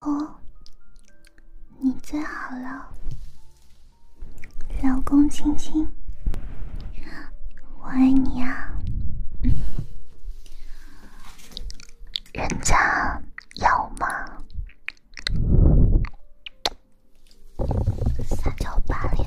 哦，你最好了，老公亲亲，我爱你呀！人家要吗？撒娇巴脸。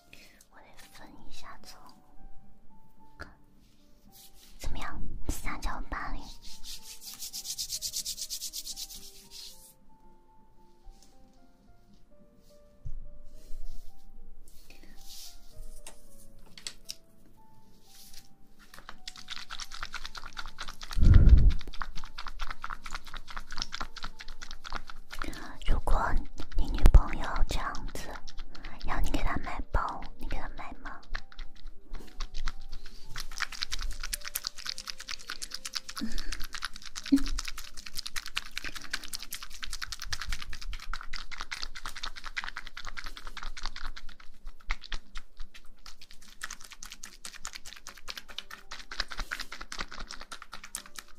我得分一下，从怎么样三角八零。如果你女朋友这样子，要你给她买包，你给她买吗？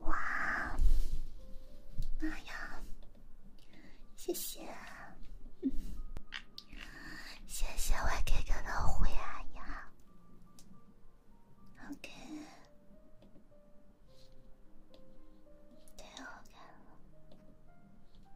哇！妈呀！谢谢，谢谢我给的的回呀！OK。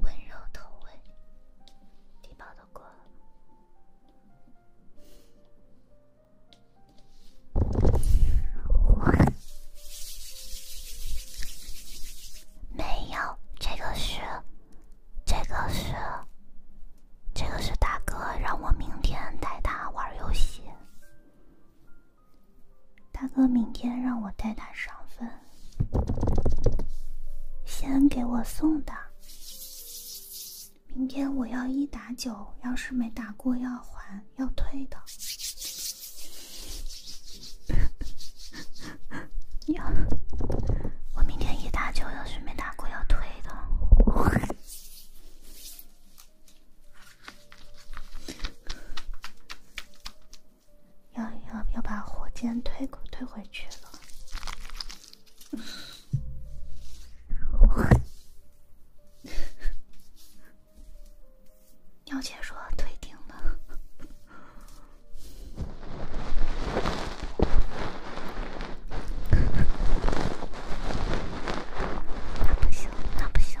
温柔投喂，礼包的过没有，这个是，这个是，这个是大哥让我明天带他玩游戏。大哥明天让我带他上分。先给我送的，明天我要一打九，要是没打过要还要退的。要，我明天一打九，要是没打过要退的。要要要把火箭推推回去了。鸟姐说推顶了。那不行，那不行。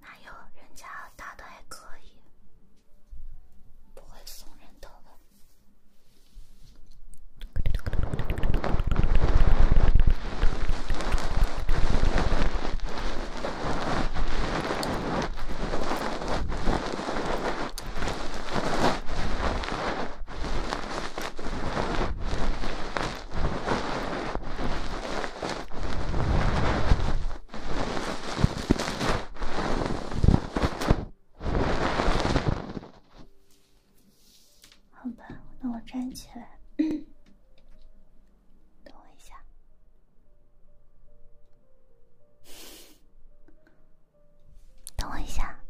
哪有人家打的还可以，不会送人头吧？好吧，那我站起来。等我一下。等我一下。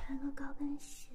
穿个高跟鞋。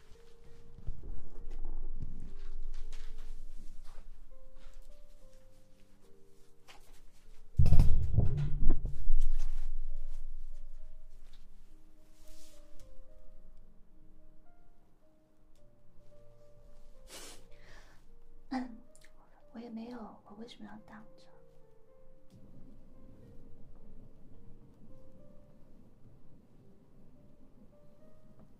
嗯，我也没有，我为什么要挡着？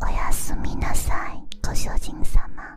おやすみなさい、ご主人様。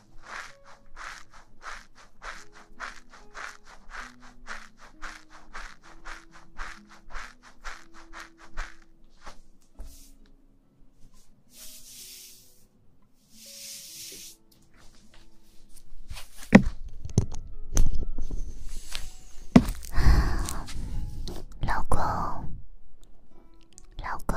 老公，老公。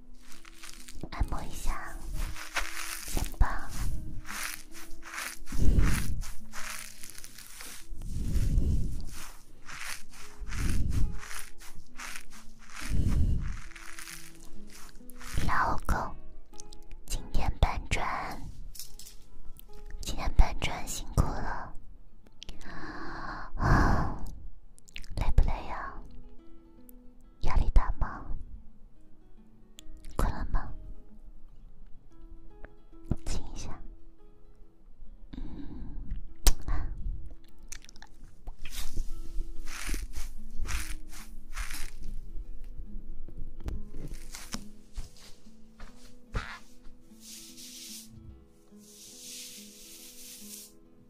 按摩一下肩膀，老公，今天搬砖，今天搬砖辛苦了，累不累呀？压力大吗？困了吗？亲一下。嗯，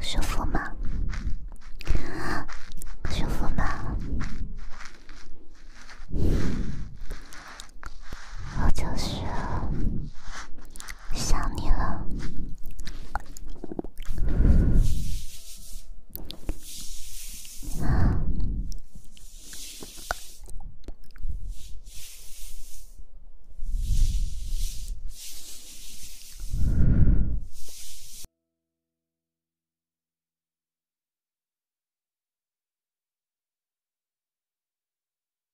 舒服吗？舒服吗？我就是。想你了。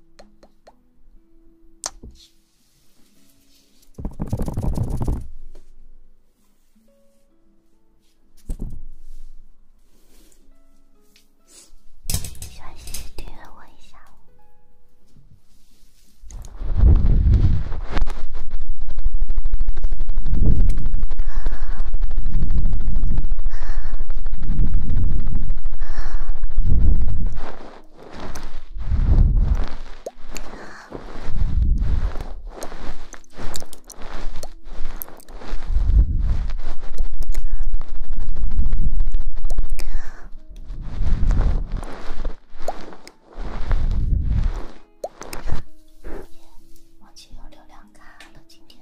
喜欢的订阅我一下。忘记用流量卡了，今天。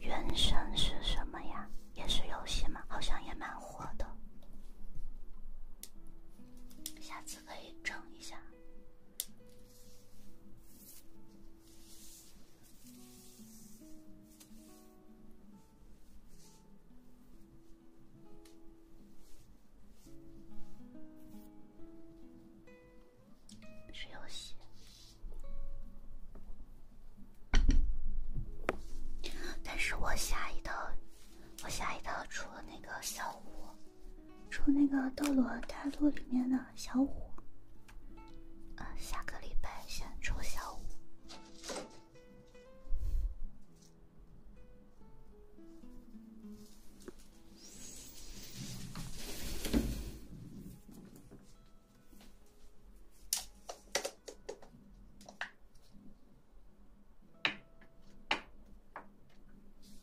原神是什么呀？也是游戏吗？好像也蛮火的，下次可以整一下。是游戏，但是我下一套，我下一套除了那个小屋，出那个《斗罗大陆》里面的小舞，啊，下个礼拜先出小舞。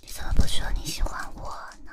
你怎么不说你喜欢我呢？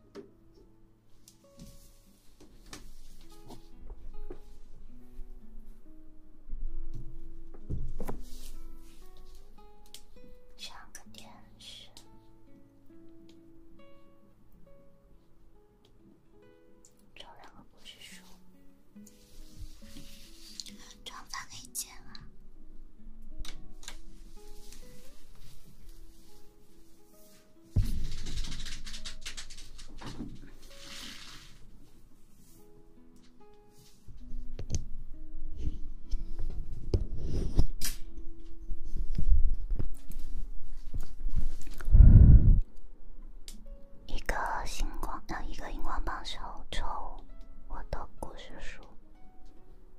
换个电视，找两个故事书。长发可以剪啊。一个星光，呃，一个荧光棒手抽，我的故事书。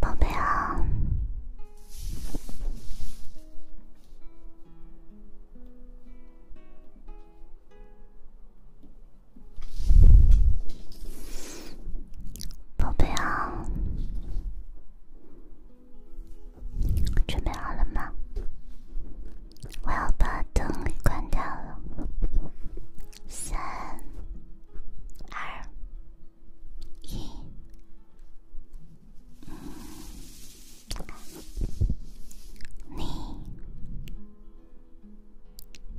宝贝啊！宝贝啊，准备好了吗？我要把灯给关掉了。三、二、一，你，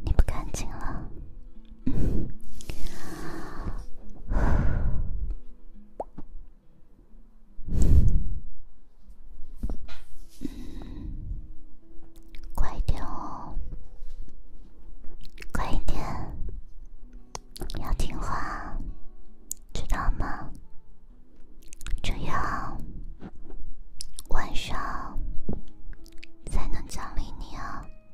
你不干净了。嗯，快一点哦，快一点，要听话，知道吗？这样晚上才能奖励你啊。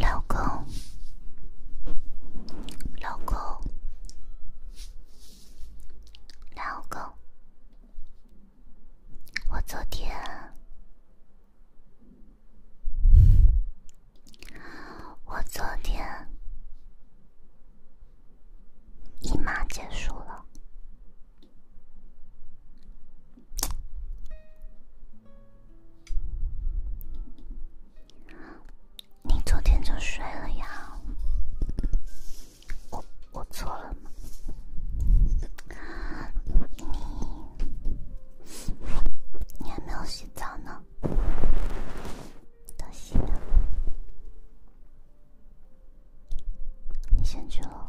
老公，老公，老公，我昨天，我昨天，姨妈结束了。你昨天就睡了呀？我我错了你你还没有洗澡呢，等洗呢。你先去了，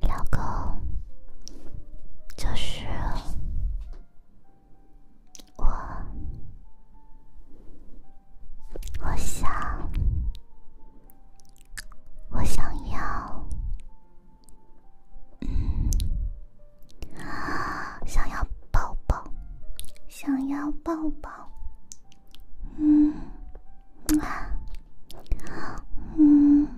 老公，就是我，我想，我想要，嗯，想要抱抱，想要抱抱，嗯，嗯。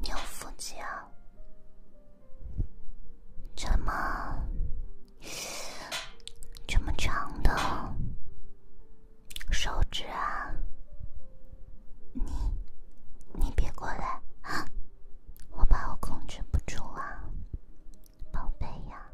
你有腹肌啊？怎么这么长的手指啊！你你别过来我怕我控制不住啊，宝贝呀，